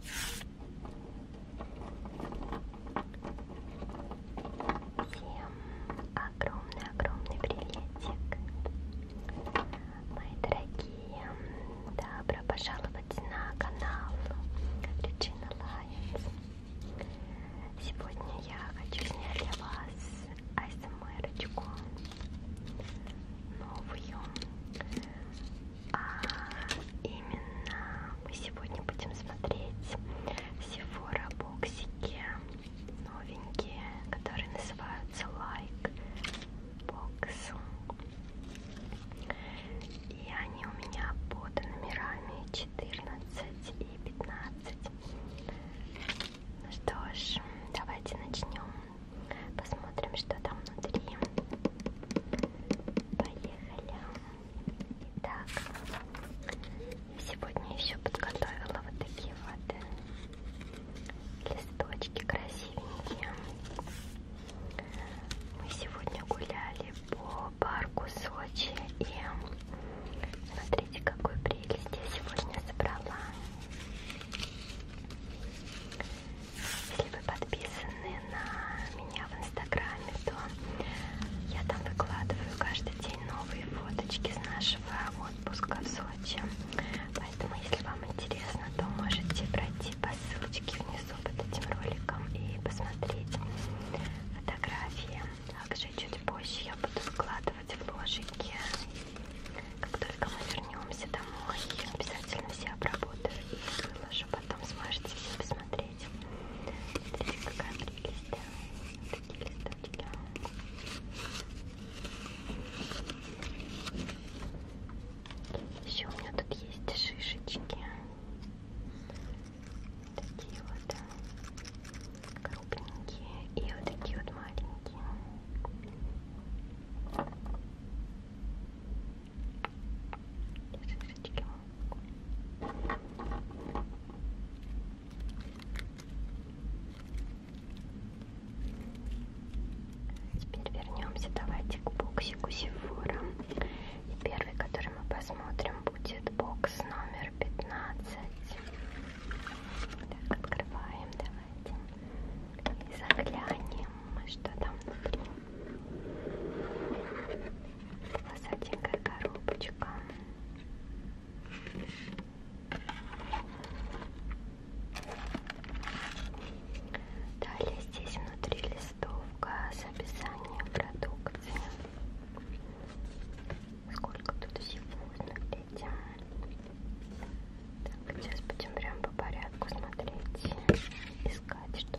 Всем огромный-огромный приветик, мои дорогие. Добро пожаловать на канал Regina Lions. Сегодня я хочу снять для вас асмр новую. А именно мы сегодня будем смотреть Сефора боксики новенькие, которые называются Like Box. И они у меня под номерами 14 и 15. Ну что ж, давайте начнем. Посмотрим, что там внутри. Поехали. Итак, сегодня еще подготовила вот такие вот э, листочки красивенькие. Мы сегодня гуляли по парку Сочи и смотрите, какую прелесть я сегодня собрала. Если вы подписаны на меня в инстаграме, то я там выкладываю каждый день новые фоточки с нашего отпуска в Сочи. Поэтому, если вам интересно, то можете пройти по ссылочке внизу под этим роликом и посмотреть фотографии. Также чуть позже я буду выкладывать в ложике. Как только мы вернемся домой, я обязательно все обработаю и выложу потом сможете все посмотреть. Смотрите, какая прелесть. Вот такие листочки. Еще у меня тут есть шишечки. Такие вот э, крупненькие и вот такие вот маленькие. Теперь вернемся, давайте к боксику Сифора. И первый, который мы посмотрим, будет бокс номер 15. Так, открываем, давайте. И заглянем, что там внутри. Посаденькая коробочка. Далее здесь внутри листовка с описанием продукции. Сколько тут всего, смотрите. Так, сейчас будем прям по порядку смотреть, искать, что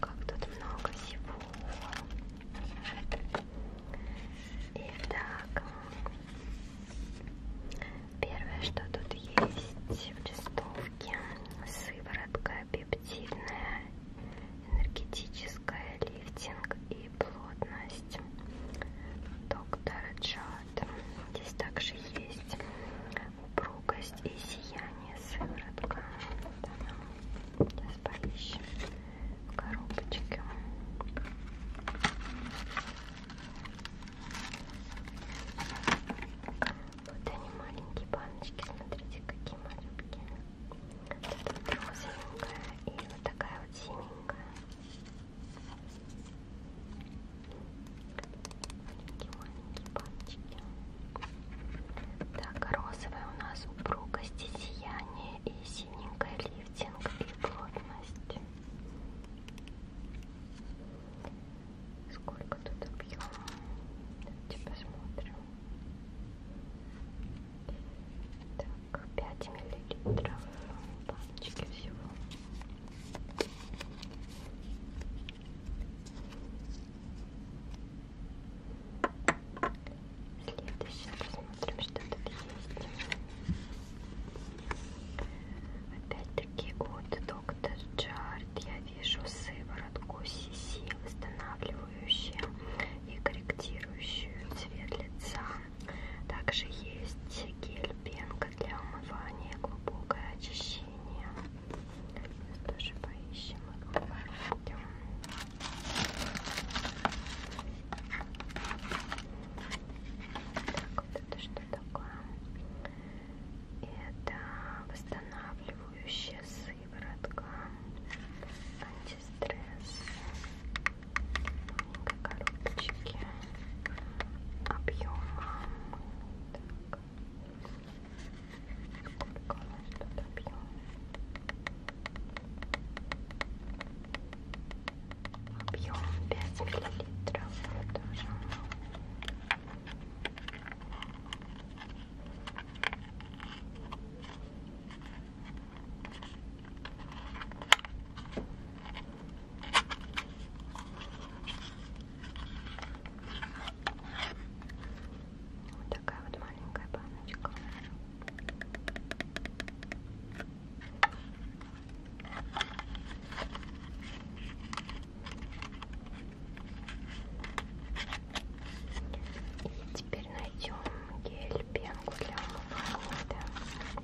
Как тут много всего. Итак, первое, что тут есть в листовке, сыворотка пептидная, энергетическая, лифтинг и и плотность доктора Джад. Здесь также есть упругость и сияние сыворотка. Вот она. Сейчас поищем в коробочке. Вот они маленькие баночки, смотрите, какие маленькие. Вот розовенькая и вот такая вот синенькая. Маленькие-маленькие пальчики. Так, розовая у нас упругость и сияние, и синенькая лифтинг, и плотность. Сколько тут объема? Давайте посмотрим. Так так 5 миллилитров баночки всего Следующее посмотрим, что тут есть. Опять-таки от доктор Джард я вижу сыворотку Сиси, восстанавливающую и корректирующую цвет лица. Также есть гель пенка для умывания, глубокое очищение. Сейчас тоже поищем. Так, вот это что такое? Это восстанавливающая сыворотка, антистресс маленькой коробочке объемом. Так. Сколько у нас тут объем? Объем 5 миллилитров тоже. Вот такая вот маленькая баночка. И теперь найдем гель пенку для умывания. Да.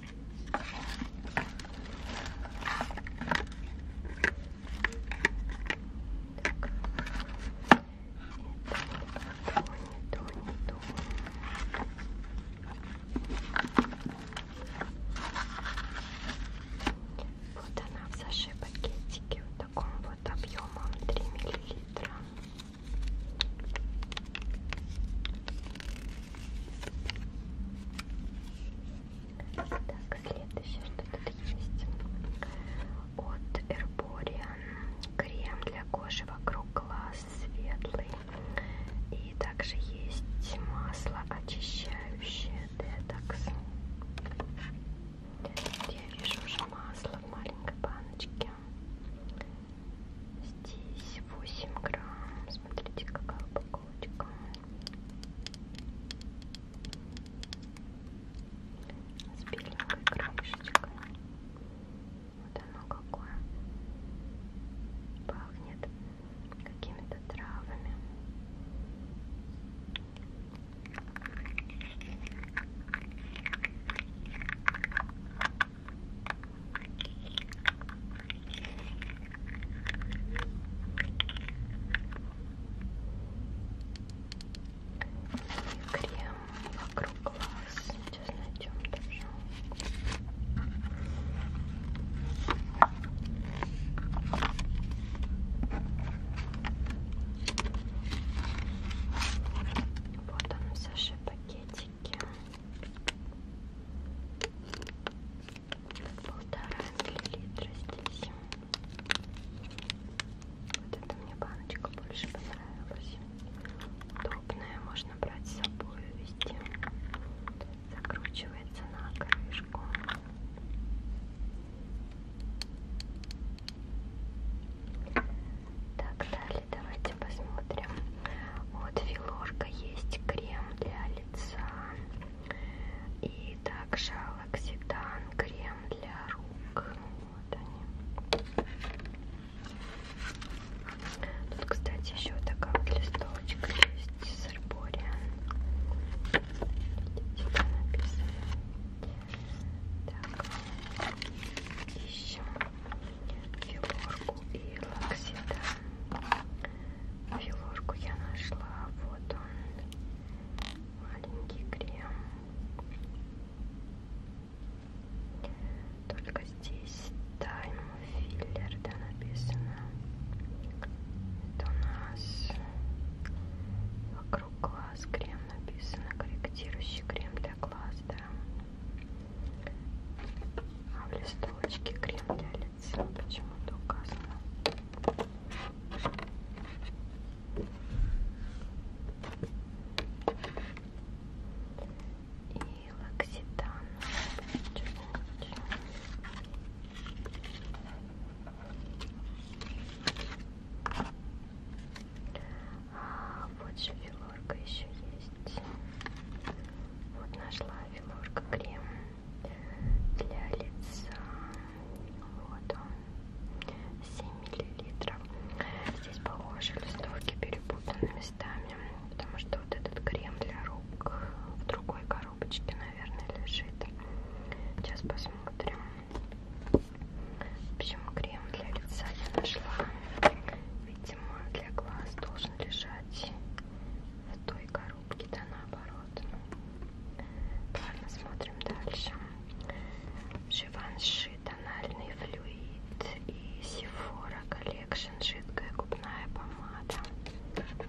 Вот она в саше пакетике в таком вот объемом 3 миллилитра. Так, следующее, что тут есть. От Herborian крем для кожи вокруг глаз светлый. И также есть масло очищающее детокс. Я вижу уже масло в маленькой баночке. Здесь 8 грамм. Смотрите, какая упаковочка. С беленькой крышечкой. Вот оно какое. Пахнет какими-то травами. Крем вокруг глаз. Сейчас найдем тоже. Вот он, Саша, пакетик. Полтора миллилитра здесь. Вот эта мне баночка больше понравилась. Удобная, можно брать с собой везде. Закручивается на крышку. Так, далее давайте посмотрим. Вот филорка есть крем для лица и также лакситан крем для рук. Вот они. Тут, кстати, еще такая вот листовочка есть с арбориан. Видите, там написано. Так, ищем филорку и лаксида. Филорку я нашла. Вот он. Маленький крем. Только здесь тайм филлер, да, написано. Это у нас вокруг глаз крем написано. Корректирующий крем для глаз, да. А в листовочке крем для лица почему-то указано. И лакситан. А, вот же еще есть. Вот нашла Филорка крем для лица. Вот он. 7 миллилитров. Здесь, похоже, листовки перепутаны местами, потому что вот этот крем для рук в другой коробочке, наверное, лежит. Сейчас посмотрим. В общем, крем для лица я нашла. Видимо, для глаз должен лежать в той коробке, да наоборот. Ну, ладно, смотрим дальше. Живанши тональный флюид и Sephora Collection жидкая губная помада. Так.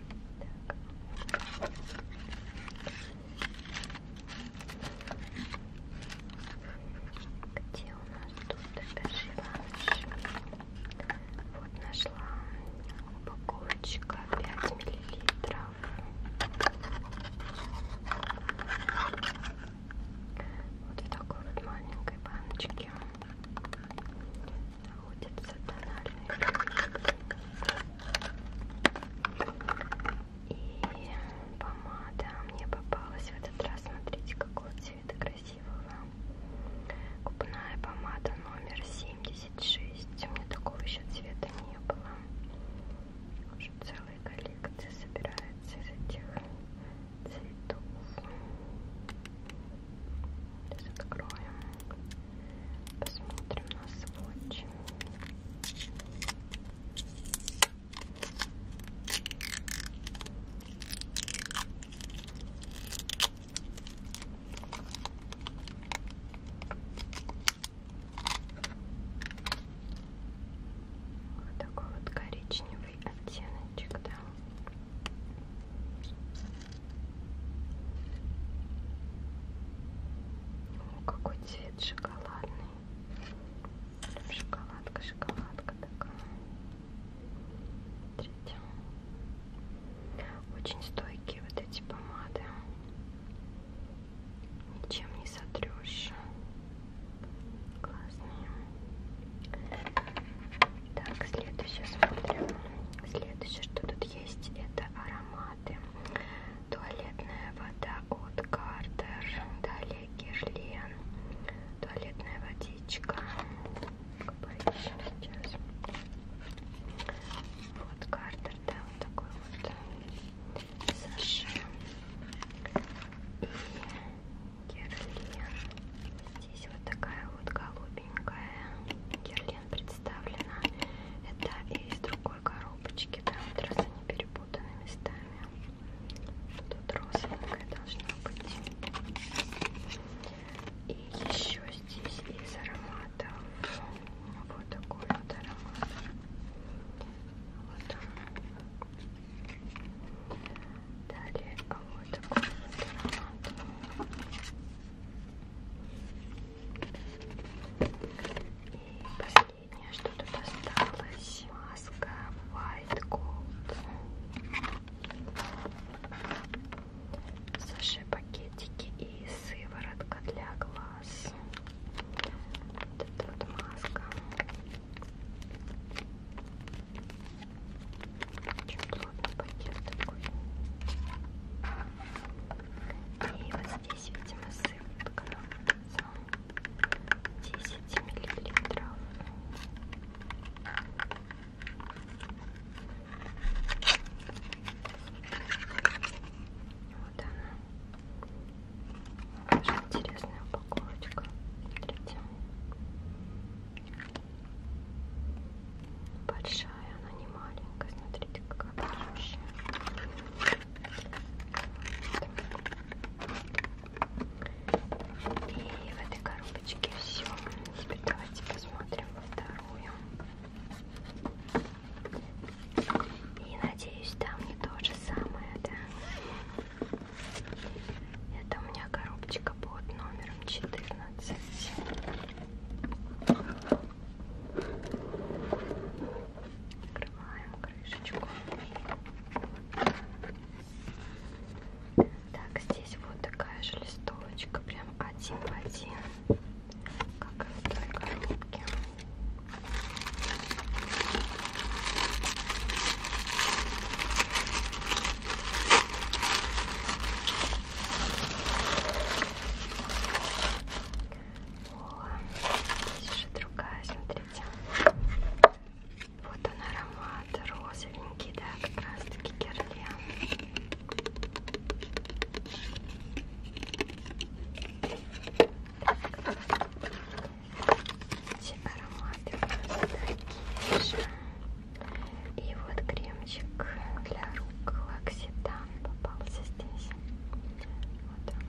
Где у нас тут живанши? Вот нашла упаковочка 5 миллилитров. Вот в такой вот маленькой баночке находится тональный продукт. И помада мне попалась в этот раз. Смотрите, какого цвета красивая красивого. Губная помада номер 76. У меня такого еще цвета не было. Уже целая коллекция собирается из этих цветов. Сейчас откроем. Посмотрим на сводчи. Вот такой вот коричневый оттеночек, да. О, какой цвет шоколадный. Шоколадка, шоколадка такая. Смотрите. Очень стойкие вот эти помады. Ничем не сотрешь. Классные. Так, следующее смотрим. Следующее, что тут есть, это ароматы. Туалетная вода от Картер. Далее Герлен. Туалетная водичка поищем сейчас. Вот картер, да, вот такой вот э, Саша и Герлен. Здесь вот такая вот голубенькая Герлен представлена. Это из другой коробочки, да, вот раз они перепутаны местами. Тут розовенькая должна быть. И еще здесь из ароматов вот такой вот аромат. Вот он. Далее вот такой вот аромат. И последнее, что тут осталось, маска White Gold. Саше пакетики и сыворотка для глаз. Вот эта вот маска. Очень плотный пакет такой. И вот здесь, видимо, сыворотка за 10 миллилитров. Вот она. Даже интересная упаковочка. Смотрите. Большая, она не маленькая. Смотрите, какая большущая. Вот. И в этой коробочке все. Теперь Давайте посмотрим во вторую. И надеюсь, там не то же самое, да? Это у меня коробочка под номером 14. Открываем крышечку. Так, здесь вот такая же листовочка, прям один в один, как и в той коробке. О, здесь же другая, смотрите. Вот он аромат. Вот, розовенький, да, как раз таки герлен. Эти ароматы у нас такие же. И вот кремчик для рук лакситан попался здесь. Вот он.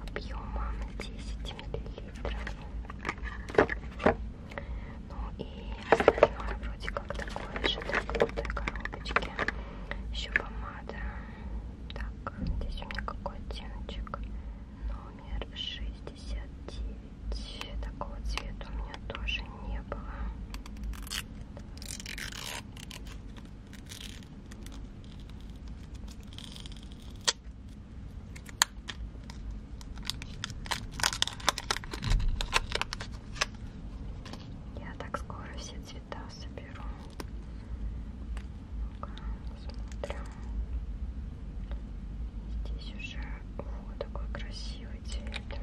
Объемом 10 миллилитров. Ну и остальное вроде как такое же, да, в этой коробочке. Еще помада. Так, здесь у меня какой оттеночек? Номер 69. Такого цвета у меня тоже не было. Я так скоро все цвета соберу. Ну-ка, смотрим. Здесь уже вот такой красивый цвет.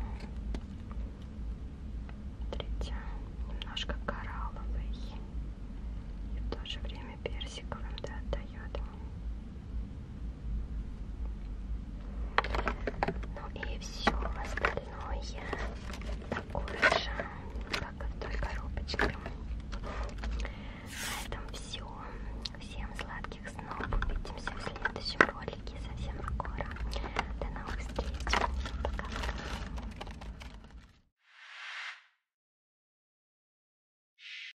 Смотрите, немножко коралловый. И в то же время персиковым, да, отдает. Ну и все остальное такое же, как и в той коробочке. На этом все. Всем сладких снов. Увидимся в следующем ролике совсем скоро. До новых встреч. Пока.